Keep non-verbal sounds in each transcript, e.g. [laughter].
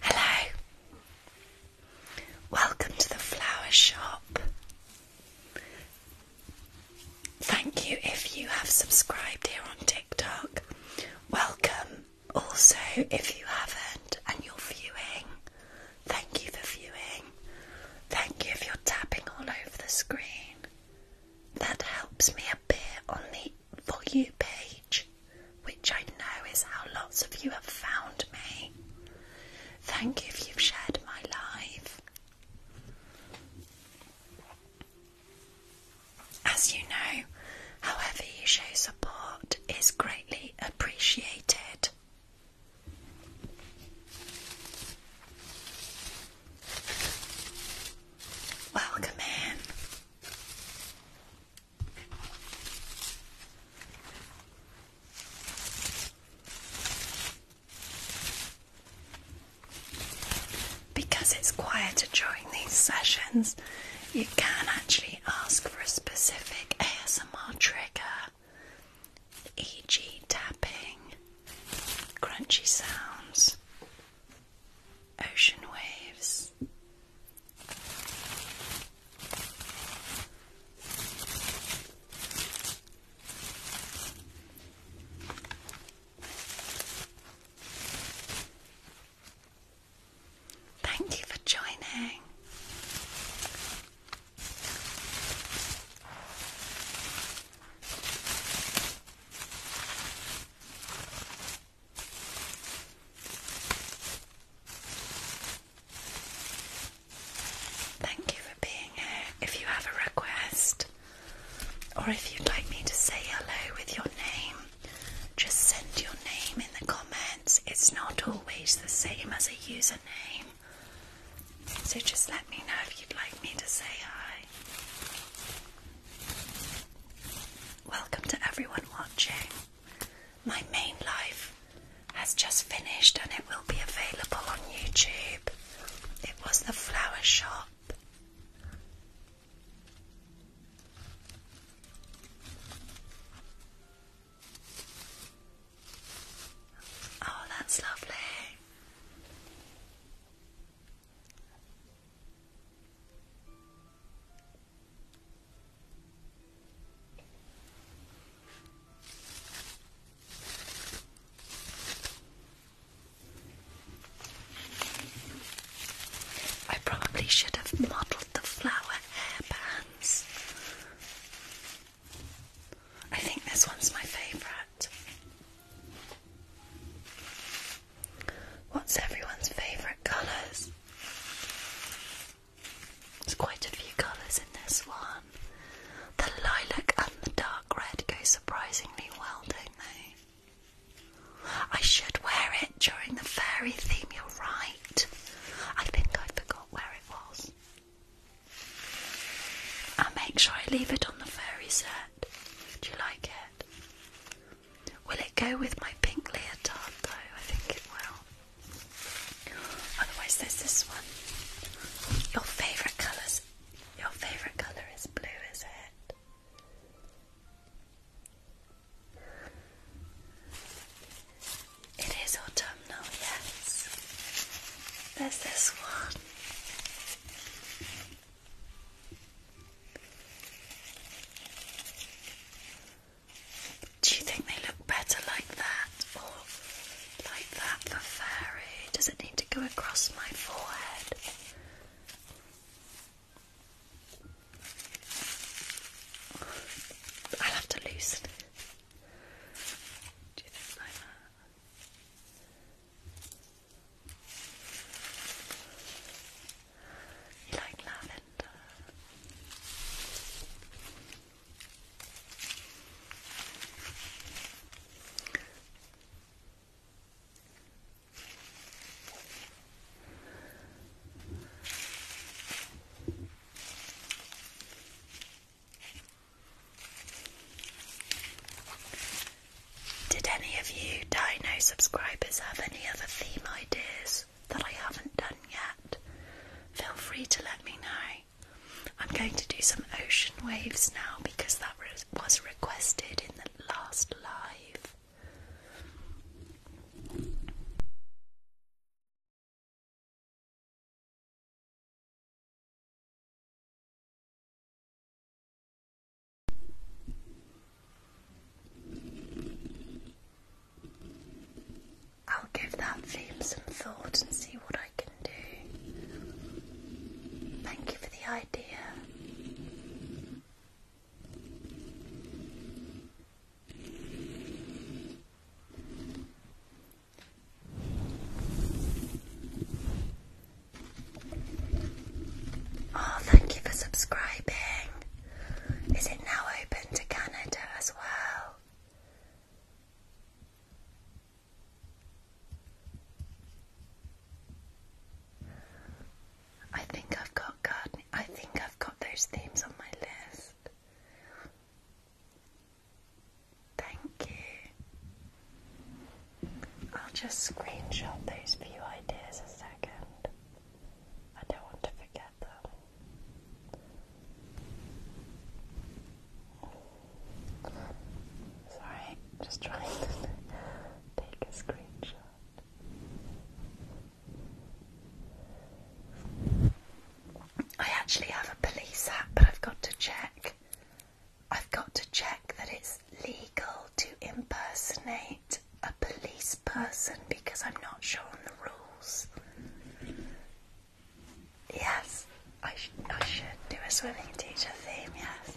Hello, welcome to the flower shop. Thank you if you have subscribed here on TikTok. Welcome. Also, if you haven't and you're viewing, thank you for viewing. Thank you if you're tapping all over the screen. That helps me appear on the view page, which I know is how lots of you have found me. Thank you if you've shared my live. As you know, however, your show support is greatly appreciated. Welcome in because it's quieter during these sessions, you can actually ask for a specific ASMR trigger, e.g., tapping, crunchy sounds, ocean waves. Thank you for joining. Thank you for being here. If you have a request, or if you'd like me to say hello with your name, just send your name in the comments. It's not always the same as a username. So just let me know if you'd like me to say hi. Welcome to everyone watching. My main life has just finished and it will be available on YouTube. It was the flower shop. Oh, that's lovely. I probably should have modelled the flower hairbands. I think this one's my favourite. What's everyone's favourite colours? There's quite a few colours in this one. The lilac and the dark red go surprisingly well, don't they? I should wear it during the fairy theme, you're right. I think I forgot where it was. I'll make sure I leave it on the fairy set. Do you like it? Will it go with my pink leotard though? I think it will. Otherwise there's this one. Your favourite colours your favourite colour is blue, is it? It is autumnal, yes. There's this one. Do you think they look better like that or like that for fairy? Does it need to go across my forehead? i have to loosen it. Do You like lavender? Did any of you Dino subscribers have any other theme ideas that I haven't done yet? Feel free to let me know. I'm going to do some ocean waves now because that was requested in the last live. I'll give that theme some thought and see what I can do. Thank you for the idea. Oh, thank you for subscribing. Is it now open to Canada as well? I think I've got I think I've got those themes on my list. Thank you. I'll just screenshot those few ideas a second. I don't want to forget them. Sorry, just trying to [laughs] take a screenshot. I actually have a police hat, but I've got to check. I've got to check that it's legal to impersonate a police person because I'm not sure on the rules. Yes, I, should do a swimming teacher theme, yes.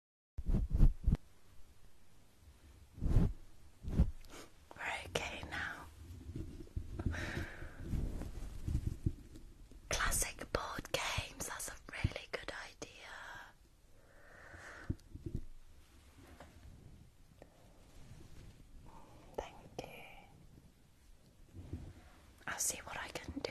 okay now. Classic board games, that's a really good idea. Thank you. I'll see what I can do.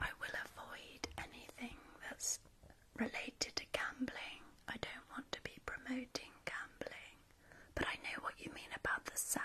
I will avoid anything that's related to gambling. I don't want to be promoting gambling, but I know what you mean about the sound.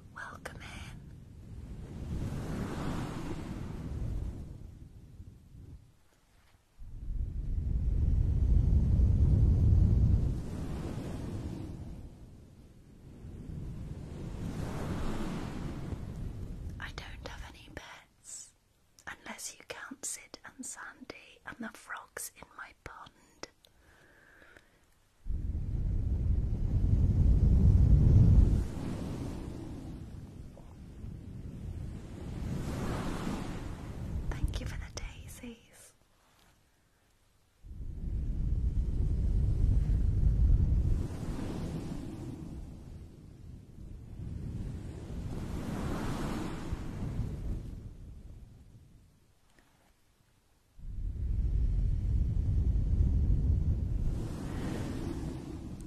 welcome in. I don't have any pets, unless you count Sid and Sandy and the frogs in my pond. Thank you for the daisies.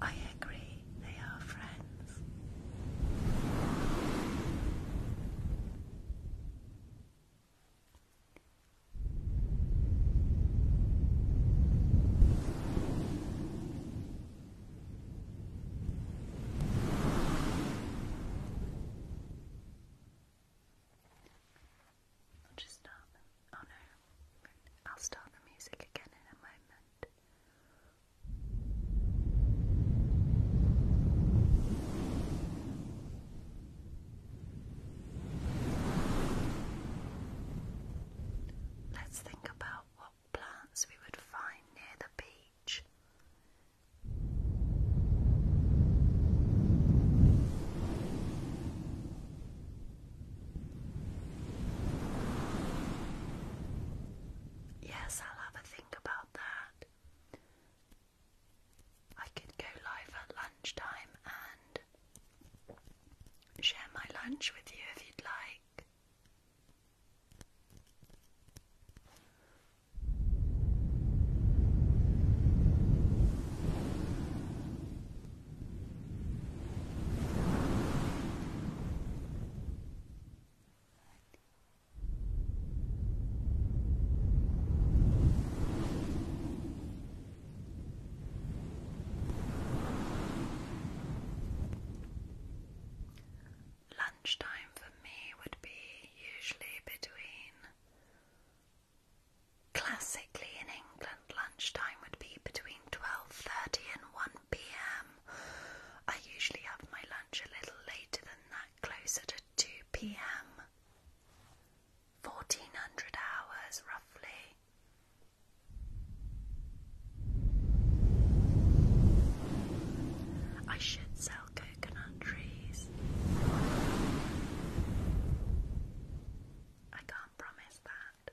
I agree, they are friends. I'll just start Oh no. I'll start the music again in a moment. Let's think about what plants we would find near the beach. Yes, I'll have a think about that. I could go live at lunchtime and share my lunch with you if you'd like. Lunchtime for me would be usually between Classically in England, lunchtime would be between 12.30 and 1pm. I usually have my lunch a little later than that, closer to 2pm. 1400 hours roughly. I should sell coconut trees. I can't promise that.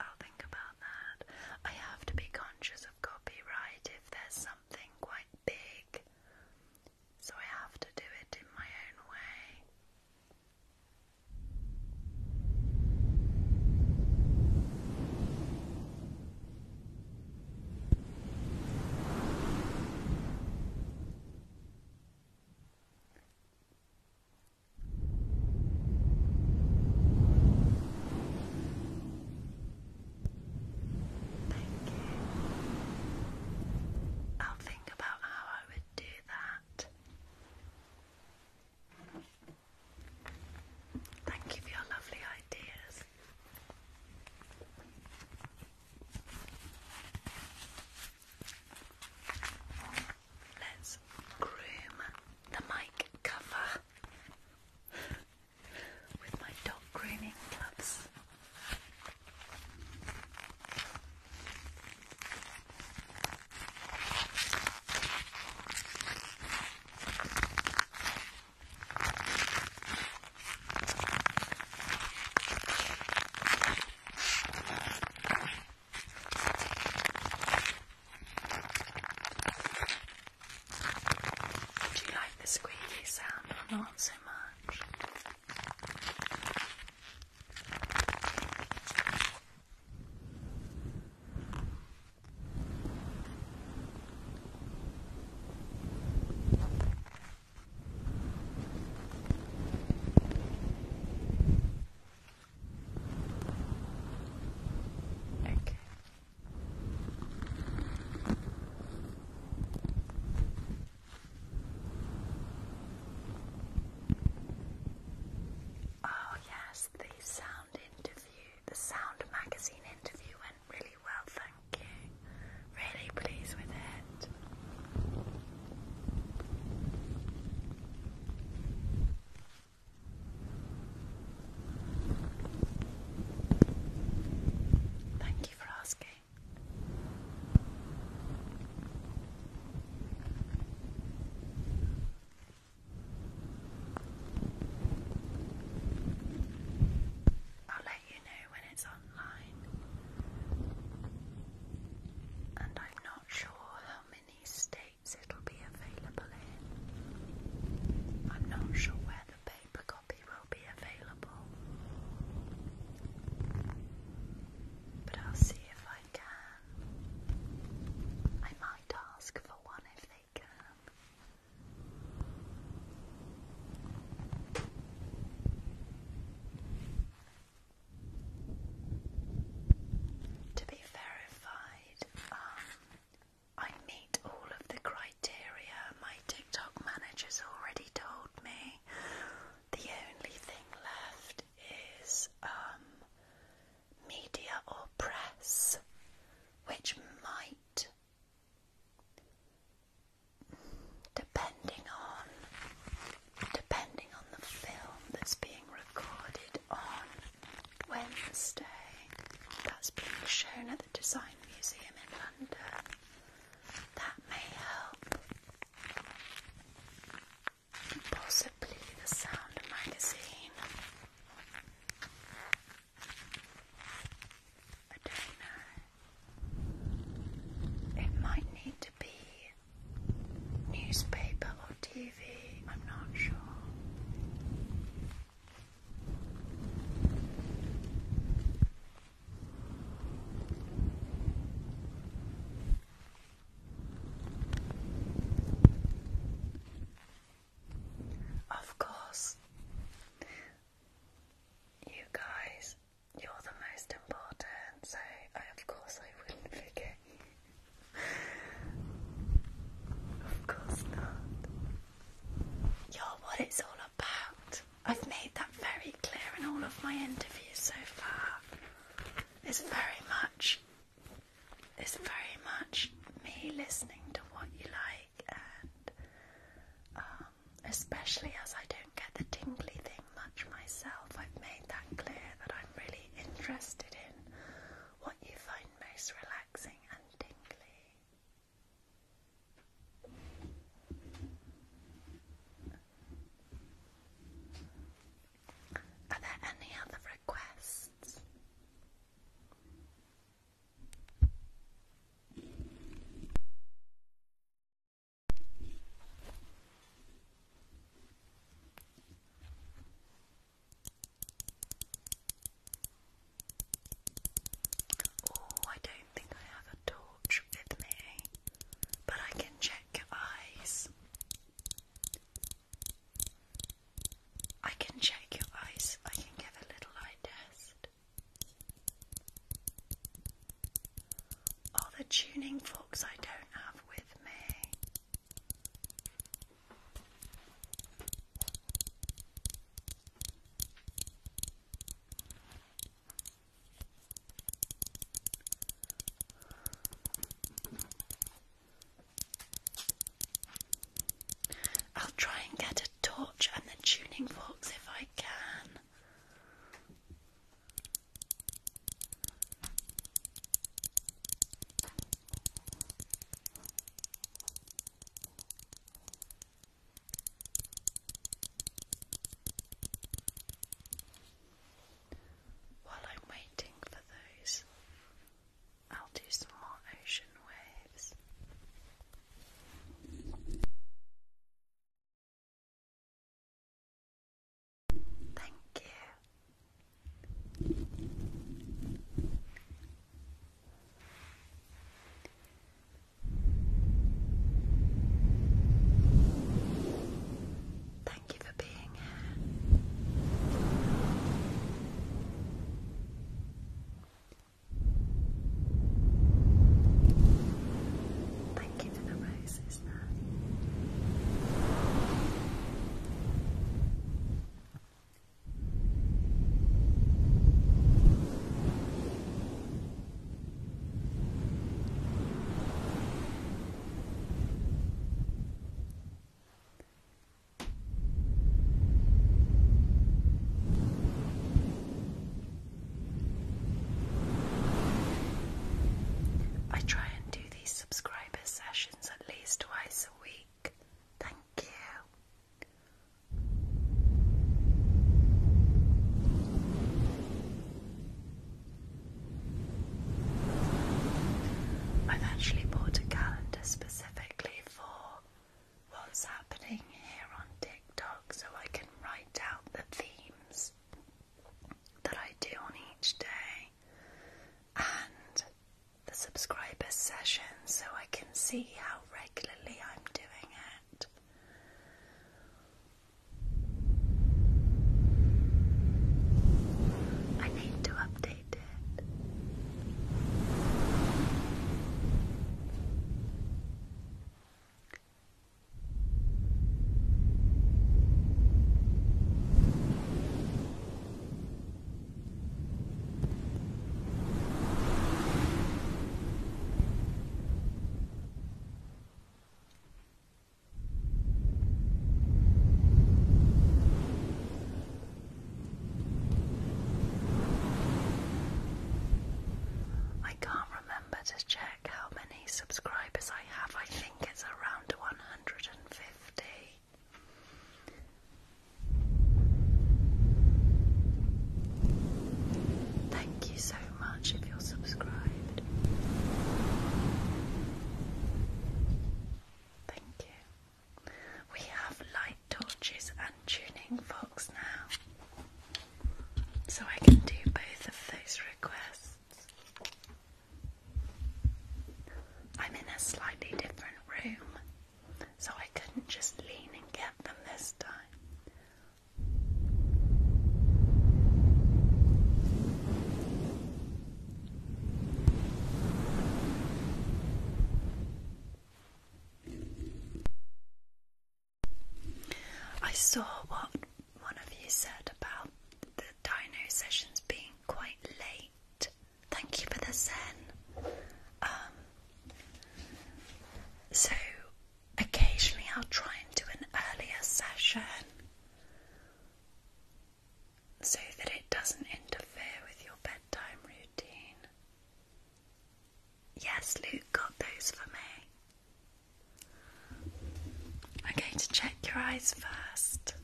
I'll think about that. I have to be conscious of copyright if there's something quite big, so I have to do it in my own way. Thank you. I'll think about how I would do that. Thank you for your lovely ideas let's groom the mic cover with my dog grooming gloves. Do you like the squeaky sound not so much? Oh, yes, the sound interview, the sound magazine interview went really well, thank you. Really pleased with it. Thank you for asking. I'll let you know when it's online. And I'm not sure how many stay it'll be available in. I'm not sure where the paper copy will be available, but I'll see if I can. I might ask for one if they can. To be verified, side, um, I meet all of the criteria my TikTok manager's already told me. The only thing left is um, media or press, which might, depending on depending on the film that's being recorded on, Wednesday. That's being shown at the Design Museum in London. That may help. Possibly the Sound magazine. I don't know. It might need to be newspaper or TV. I'm not sure. Of course, you guys, you're the most important, so of course I wouldn't forget of course not. You're what it's all about. I've made that very clear in all of my interviews so far. It's very much it's very much me listening to what you like and um, especially as I don't get the tingly thing much myself, I've made that clear that I'm really interested in what you find most relaxing and tingly. Are there any other requests? Oh, I don't think I have a torch with me, but I can check your eyes. I can check your eyes. I can give a little eye test. Oh, the tuning forks I don't have with me. I'll try and get a torch and the tuning forks if I can. While I'm waiting for those, I'll do some more ocean waves. Thank you. Thank you for being here. Thank you for the roses, I try and do these subscriber sessions at least twice a week. Thank you. I've actually bought a calendar specifically for what's happening here on TikTok so I can write out the themes that I do on each day and the subscriber session so I can see how regularly I'm doing it. I need to update it. I can't remember to check how many subscribers I have. I think it's around 150. Thank you so much if you're subscribed. Thank you. We have light torches and tuning forks now, so I can do both of those requests. I'm in a slightly different room so I couldn't just lean and get them this time. I saw what one of you said about the dino sessions being quite late Thank you for the zen. Um, so occasionally I'll try and do an earlier session so that it doesn't interfere with your bedtime routine. Yes, Luke got those for me. I'm going to check your eyes first.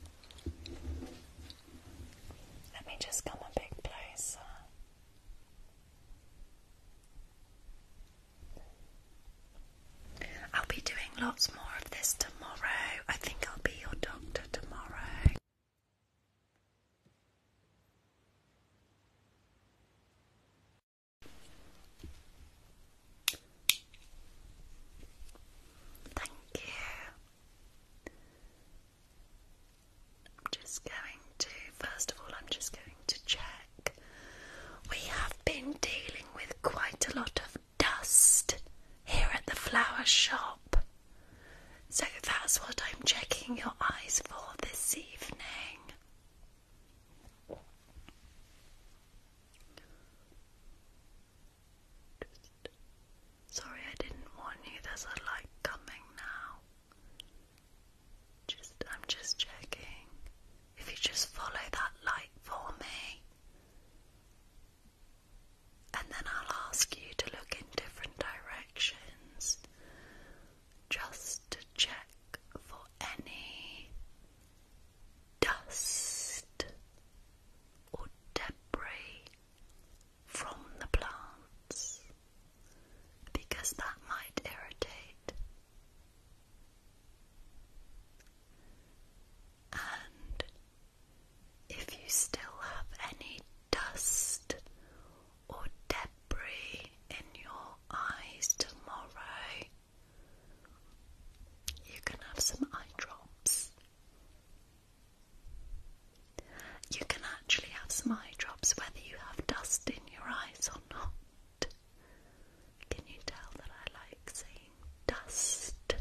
Let me just come a bit closer. I'll be doing lots more of this tomorrow. I think I'll be your doctor tomorrow. Thank you. I'm just going to, first of all, I'm just going to check. We have been dealing with quite a lot of dust here at the flower shop. So that's what I'm checking your eyes for this evening. Sorry, I didn't warn you. There's a light coming now. Just, I'm just checking. If you just follow that light for me, and then I'll ask you to look in different directions just to check for any dust or debris from the plants because that might irritate. And if you still have any dust or debris in your eyes tomorrow, you can have some eye drops you can actually have some eye drops whether you have dust in your eyes or not. Can you tell that I like saying dust?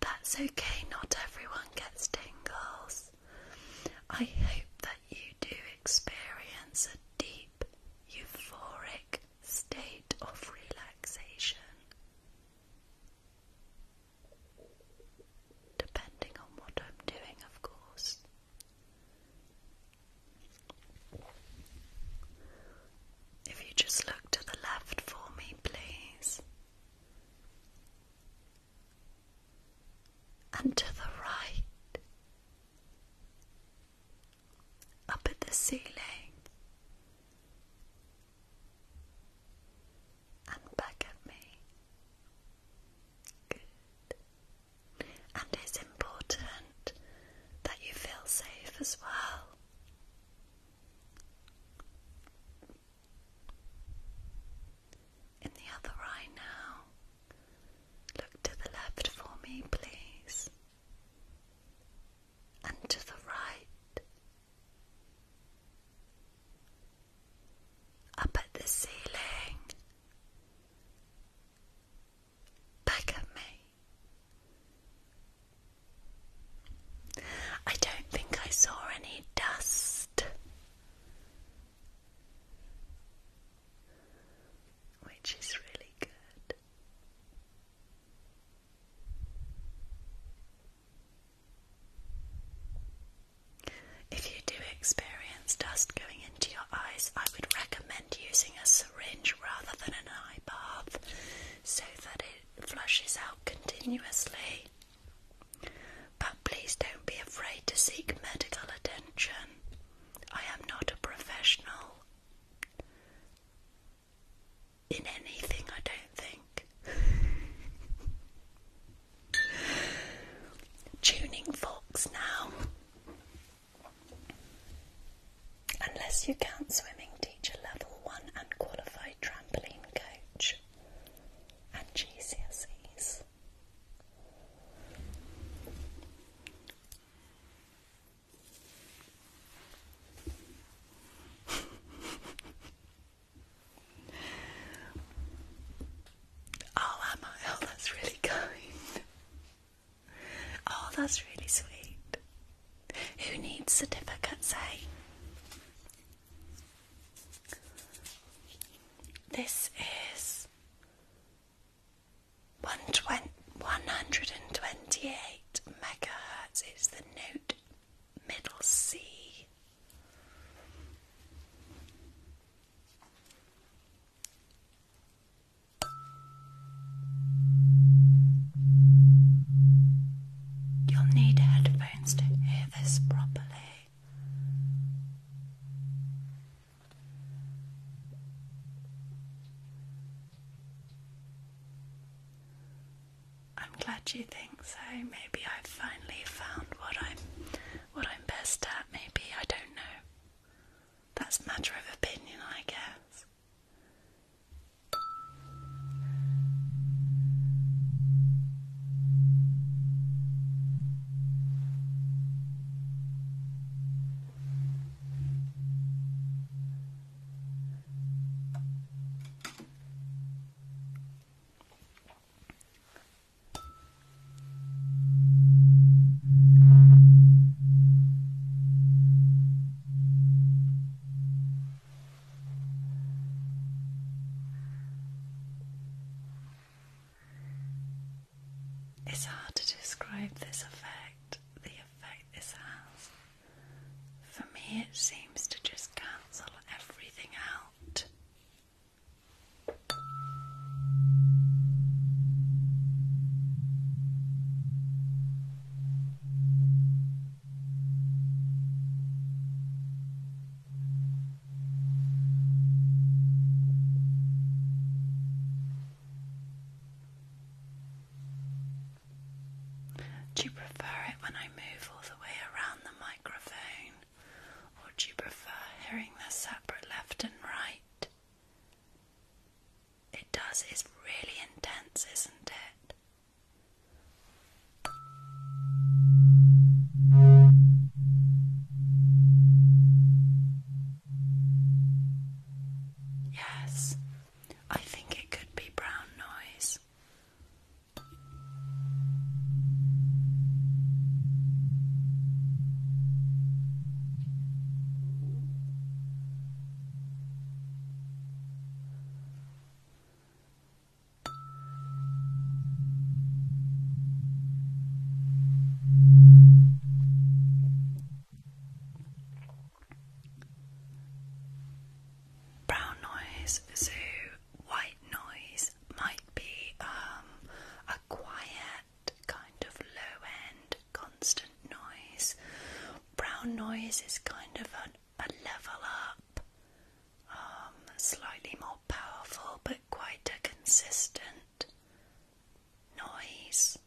That's okay, not everyone gets tingles. I hope that you do experience a deep euphoric state of relaxation. Depending on what I'm doing, of course. If you just look to the left for me, please, and to the right, up at the ceiling and back at me. And it's important that you feel safe as well. In the other eye now, look to the left for me, please and to the right, up at the ceiling, back at me. I don't think I saw any dust which is really good. If you do experience dust going into your eyes, I would recommend using a syringe rather than an eye bath so that it flushes out continuously. But please don't be afraid to seek medical attention. I am not a professional in anything, I don't think. [laughs] Tuning forks now. Unless you count swimming teacher level 1 unqualified trampoline coach and GCSEs. [laughs] oh, am Oh, that's really kind. Oh, that's really sweet. Who needs certificates, eh? This is 128 megahertz is the note middle C. You'll need headphones to hear this properly. I'm glad you think so. Maybe I've finally found what I'm what I'm best at. Maybe I don't know. That's matter of opinion, I guess. It's hard to describe this effect, the effect this has. For me, it seems to just cancel everything out. Do you prefer it when I move all the way around the microphone? Or do you prefer hearing the separate left and right? It does, it's really intense, isn't it? Yes, I think it could be brown noise. Brown noise, so white noise might be um, a quiet, kind of low end, constant noise. Brown noise is kind of a level up, um, slightly more powerful, but quite a consistent noise.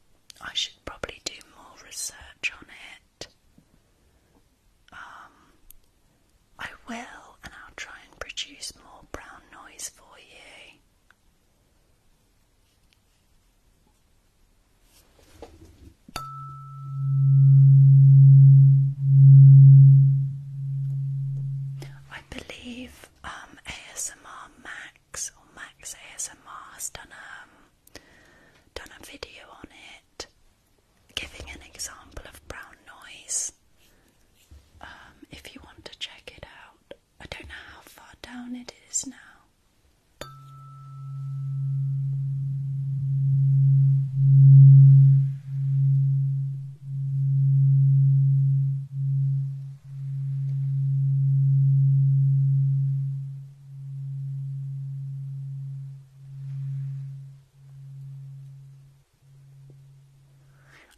I should probably do more research on it. Um, I will, and I'll try and produce more brown noise for you. I believe um, ASMR Max or Max ASMR has done um, done a video on it, giving an example of brown noise. Um, if you want to check it out, I don't know how far down it is now.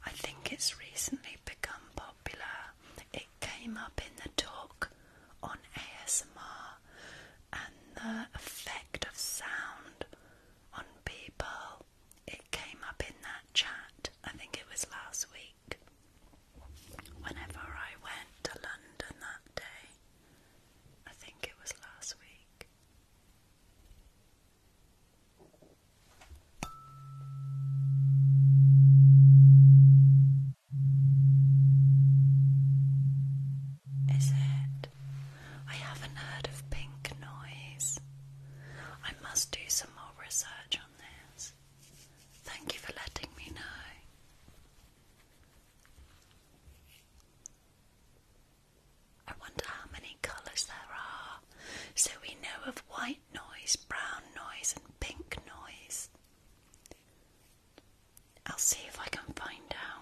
I think it's recently become popular. It came up in the talk on ASMR and the effect of sound on people. It came up in that chat. I think it was last week whenever I went to London that day, I think it was last week. Is it? I haven't heard of pink noise. I must do some more research on this. Thank you for letting me know. I wonder how many colours there are. So we know of white noise, brown noise, and pink noise. I'll see if I can find out.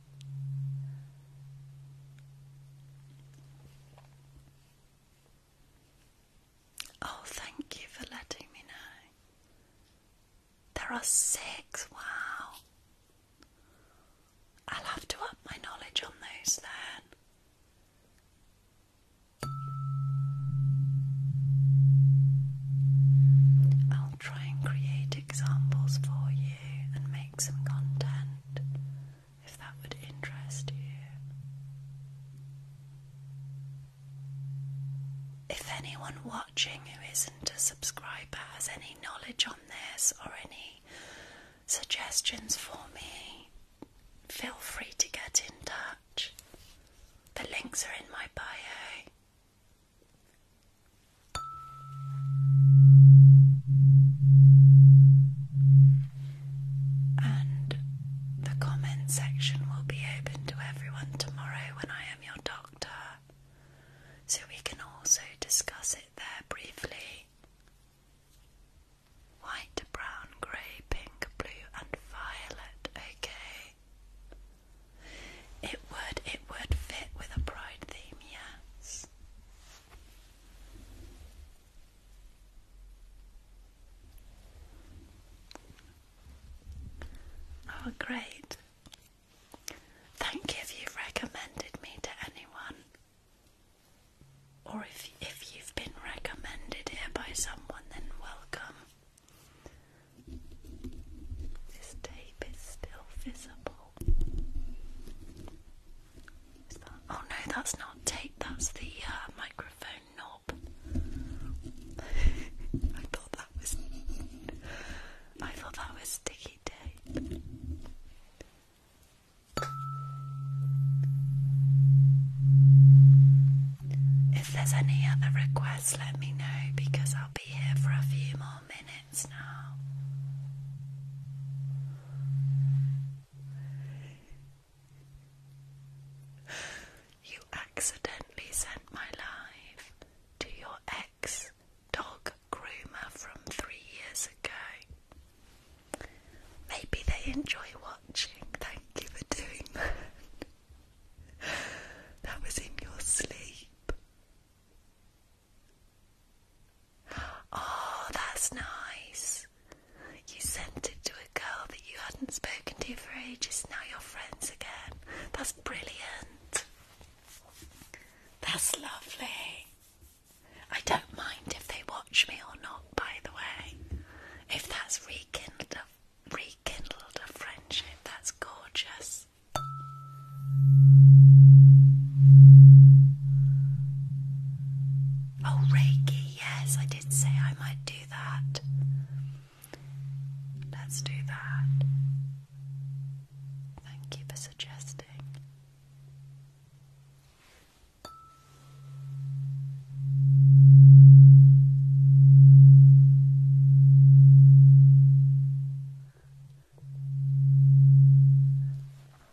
Oh, thank you for letting me know. There are six, wow. I'll have to up my knowledge on those then. I'll try and create examples for you and make some content if that would interest you. If anyone watching who isn't a subscriber has any knowledge on this or any suggestions for me, feel free to get in touch. The links are in my bio. And the comment section will be open to everyone tomorrow when I am your doctor, so we can also discuss it there briefly. White, brown, grey, pink, blue, and violet, okay? It would, it would fit with a bride theme, yes. Oh, great. Thank you if you've recommended me to anyone, or if, if you've been recommended here by someone, then welcome. This tape is still visible. Oh no, that's not tape. That's the uh, microphone knob. [laughs] I thought that was. I thought that was sticky tape. If there's any other requests, let me know because I'll be here for a few more minutes now. You accidentally sent my live to your ex dog groomer from three years ago. Maybe they enjoy watching. Thank you for doing [laughs] that. that was in your sleep. Oh, that's nice. You sent it to a girl that you hadn't spoken to for ages, now you're friends again. That's brilliant. That's lovely. I don't mind if they watch me or not, by the way. If that's rekindled a, rekindled a friendship, that's gorgeous. Oh, Reiki, yes, I did say I might do that. Let's do that. Thank you for suggesting.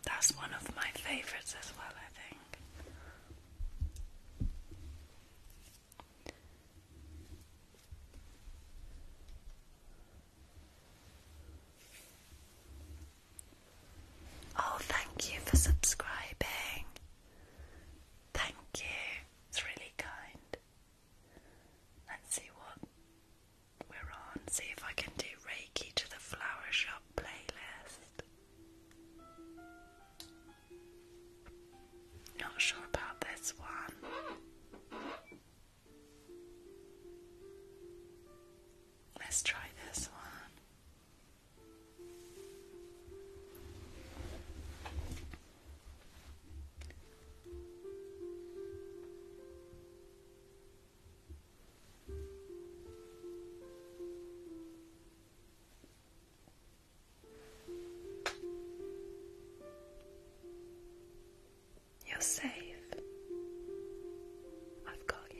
That's one of my favourites as well, I think. Oh, thank you for subscribing. Thank you. It's really kind. Let's see what we're on. See if I can do Reiki to the Flower Shop playlist. Not sure about this one. Let's try this one. You're safe. I've got you.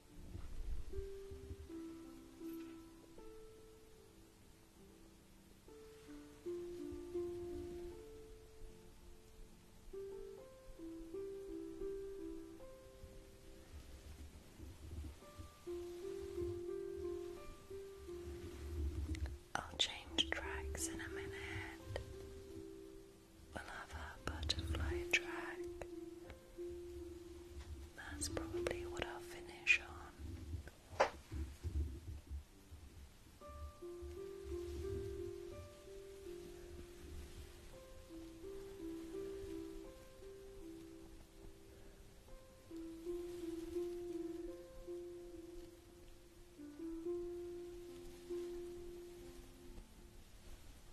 I'll change tracks in a minute. We'll have a butterfly track that's probably what I'll finish on.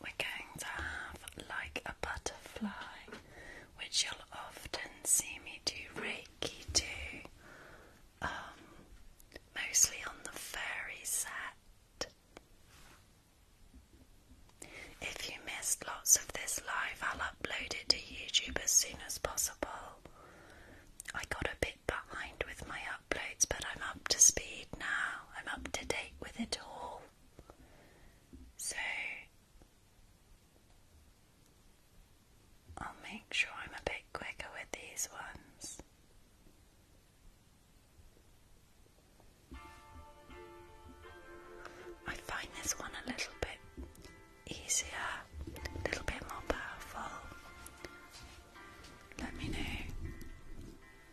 We're going to have like a butterfly, which you'll often see me do Reiki to, um, mostly on the fairy set. If you missed lots of this live, I'll upload it to YouTube as soon as possible. I got a bit behind with my uploads, but I'm up to speed now. I'm up to date with it all. So I'll make sure I'm a bit quicker with these ones. I find this one a little bit easier, a little bit more powerful. Let me know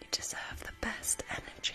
You deserve the best energy.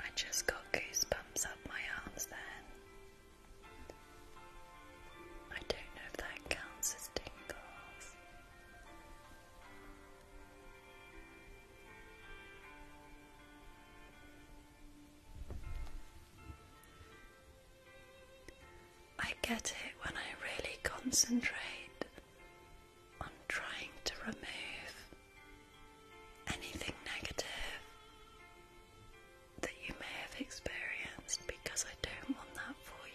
I just got goosebumps up my arms then. I don't know if that counts as tingles. I get it when I really concentrate on trying to remove anything negative that you may have experienced because I don't want that for you.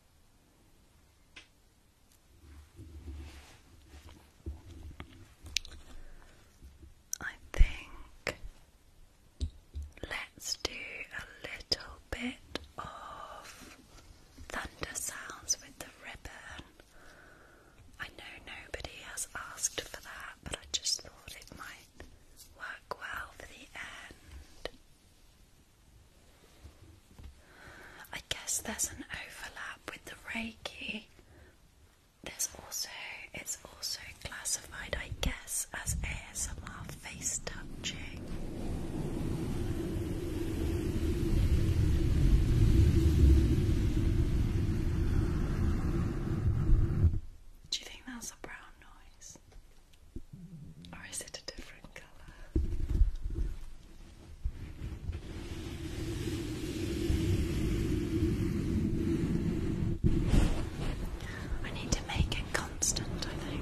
I think let's do a little bit of thunder sounds with the ribbon. I know nobody has asked for that, but I just thought it might work well for the end. I guess there's an overlap with the Reiki. There's also it's also classified, I guess, as ASMR face touching. Do you think that's a brown noise? Or is it a different colour? I need to make it constant, I think.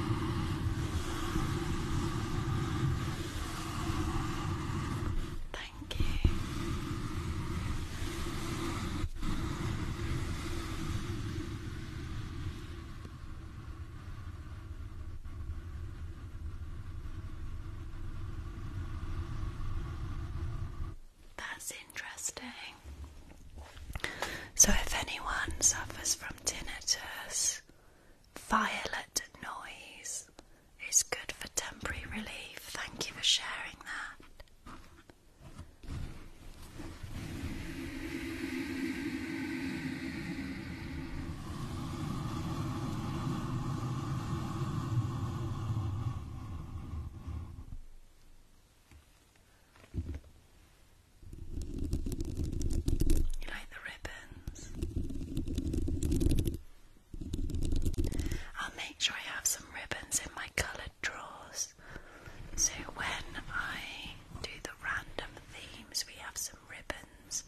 Thank you. That's interesting. So, if anyone suffers from tinnitus, violet noise is good for temporary relief. Thank you for sharing that. You like the ribbons? I'll make sure I have some ribbons in my coloured drawers. So when I do the random themes, we have some ribbons.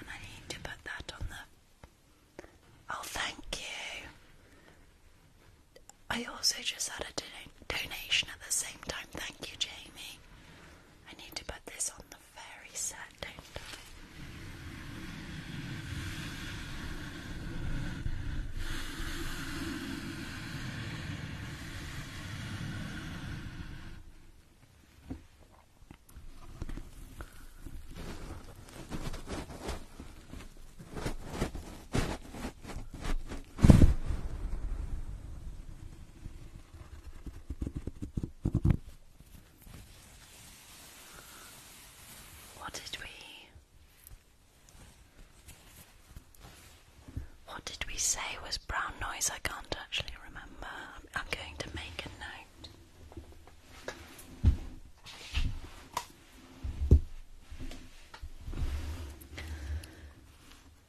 And I need to put that on the. Oh, thank you. I also just had a donation at the same time. Thank you, Jamie. I need to put this on the fairy set, what did we what did we say was brown noise? I can't actually remember. I'm going to make a note.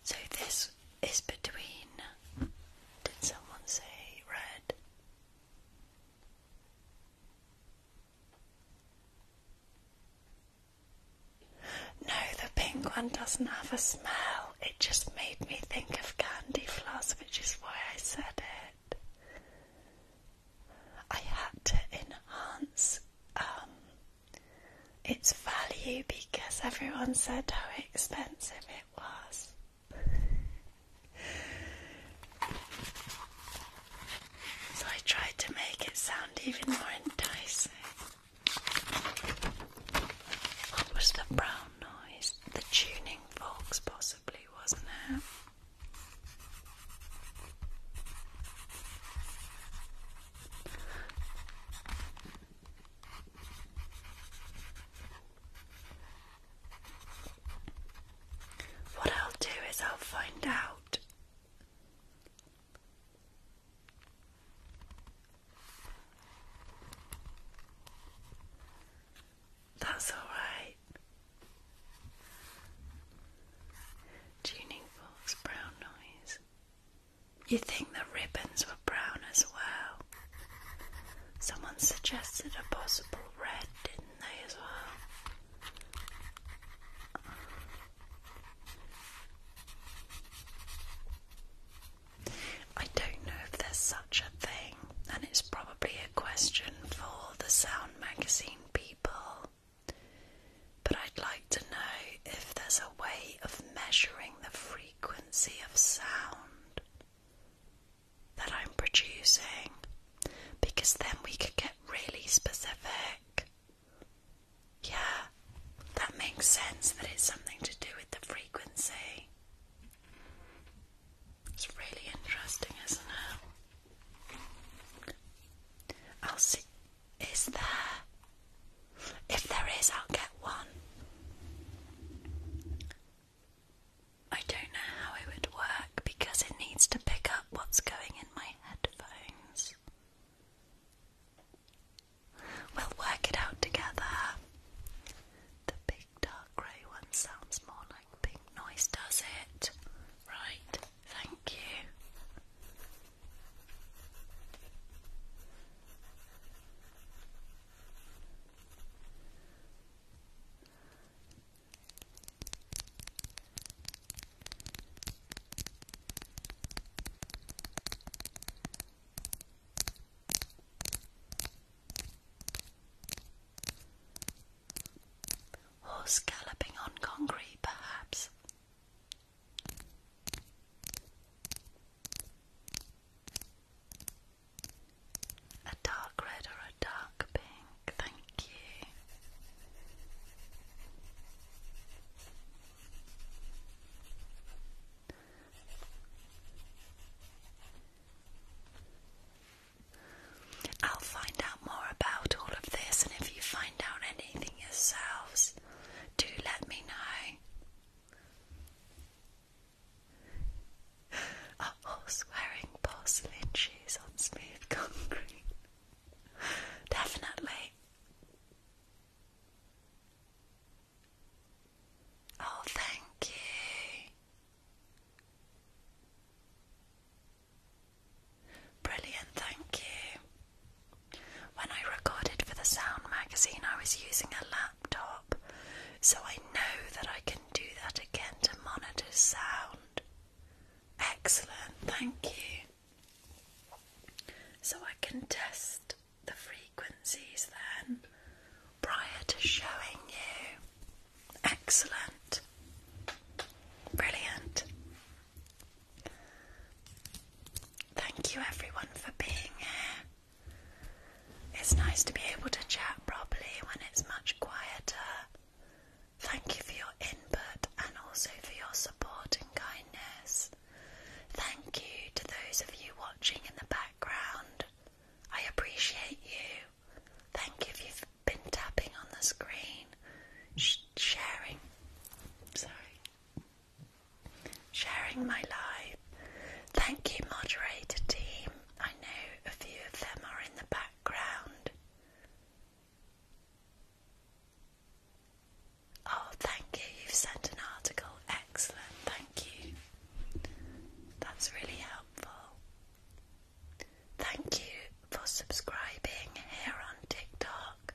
So this is between. Did someone say red? No, the pink one doesn't have a smell it just made me think of candy floss, which is why I said it. I had to enhance um, its value because everyone said how expensive it was. [laughs] so I tried to make it sound even more enticing. What was the brown the tuning forks, possibly, wasn't it? What I'll do is I'll find out that's all right. Tuning forks, brown noise. You think the ribbons were brown as well? Someone suggested a possible red, didn't they, as well? I don't know if there's such a thing, and it's probably a question for the Sound Magazine people. But I'd like to know if there's a way of measuring the frequency of sound that I'm producing, because then we could get really specific. Yeah, that makes sense that it's something to do with the frequency. It's really interesting, isn't it? I'll see. Is there? If there is, I'll get one. I don't know how it would work because it needs to pick up what's going in my headphones. We'll work it out together. The big dark grey one sounds more like pink noise, does it? Right, thank you. Horse galloping on concrete, perhaps. A dark red or a dark pink, thank you. I'll find out more about all of this, and if you find out anything yourselves, do let me know. A horse wearing porcelain shoes on smooth concrete. Definitely. Oh, thank you. Brilliant, thank you. When I recorded for the Sound magazine, I was using a laptop, so I know that I can do that again to monitor sound. Excellent, thank you. So I can test the frequencies then prior to showing you. Excellent. Brilliant. Thank you everyone for being here. It's nice to be able to chat properly when it's much quieter. Thank you for your input and also for your support and kindness. Thank you to those of you watching in the background. I appreciate you. Thank you if you've been tapping on the screen, sharing, sorry, sharing my live. Thank you, moderator team. I know a few of them are in the background. Oh, thank you. You've sent an article. Excellent. Thank you. That's really helpful. Thank you for subscribing here on TikTok.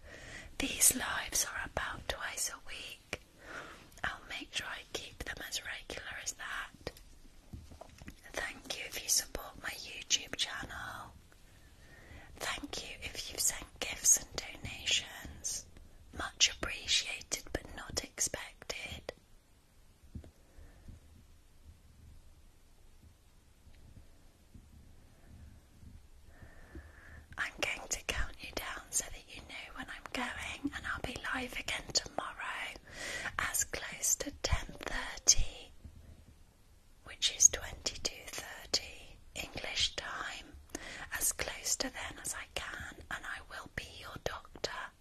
These lives are about twice a week. I'll make sure I keep them as regular as that. Thank you if you support my YouTube channel. Thank you if you've sent gifts and donations. Much appreciated but not expected. I'm going to count you down so that you know when I'm going and I'll be live again tomorrow as close to 10:30 which is 22:30 English time as close to then as I can and I will be your doctor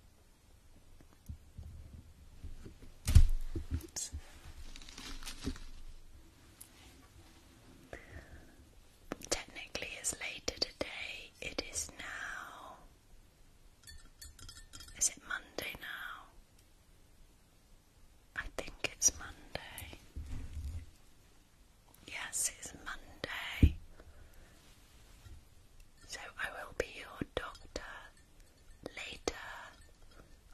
Technically, it's later today. It is now. Is it Monday now? I think it's Monday. Yes, it's Monday. So I will be your doctor later.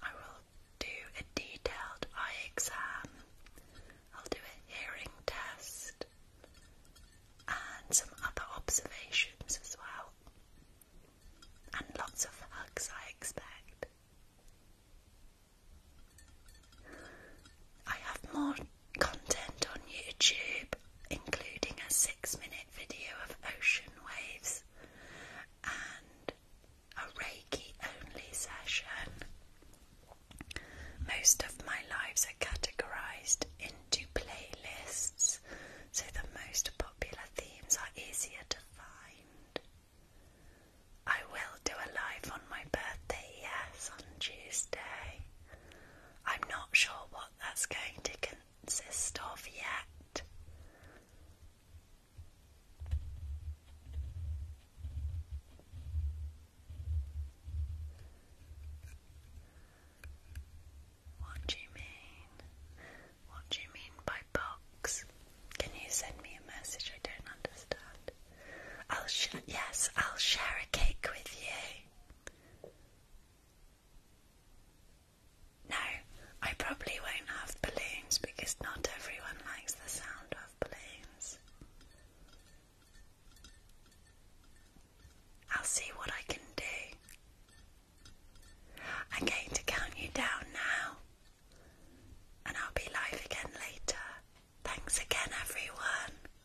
I will do a detailed eye exam. I'll do a hearing test and some other observations as well. And lots of hugs, I expect. I have more content on YouTube, including a six minute video of ocean waves and a Reiki only session. Most of my lives are categorized into playlists, so the most popular themes are easier to find. I will do a live on my birthday, yes, on Tuesday. I'm not sure what that's going to consist of yet. What do you mean? What do you mean by box? Can you send me a message? I don't understand. I'll sh yes, I'll share a cake with you. No, I probably won't have balloons because not everyone likes the sound of balloons. I'll see what I can do. I'm going to count you down now, and I'll be live again later. Thanks again, everyone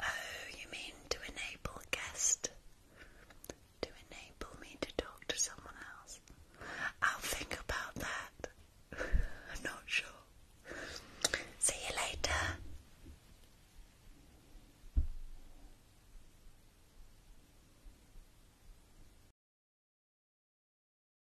Oh, you mean to enable guest? To enable me to talk to someone else? I'll think about that. [laughs] not sure. See you later.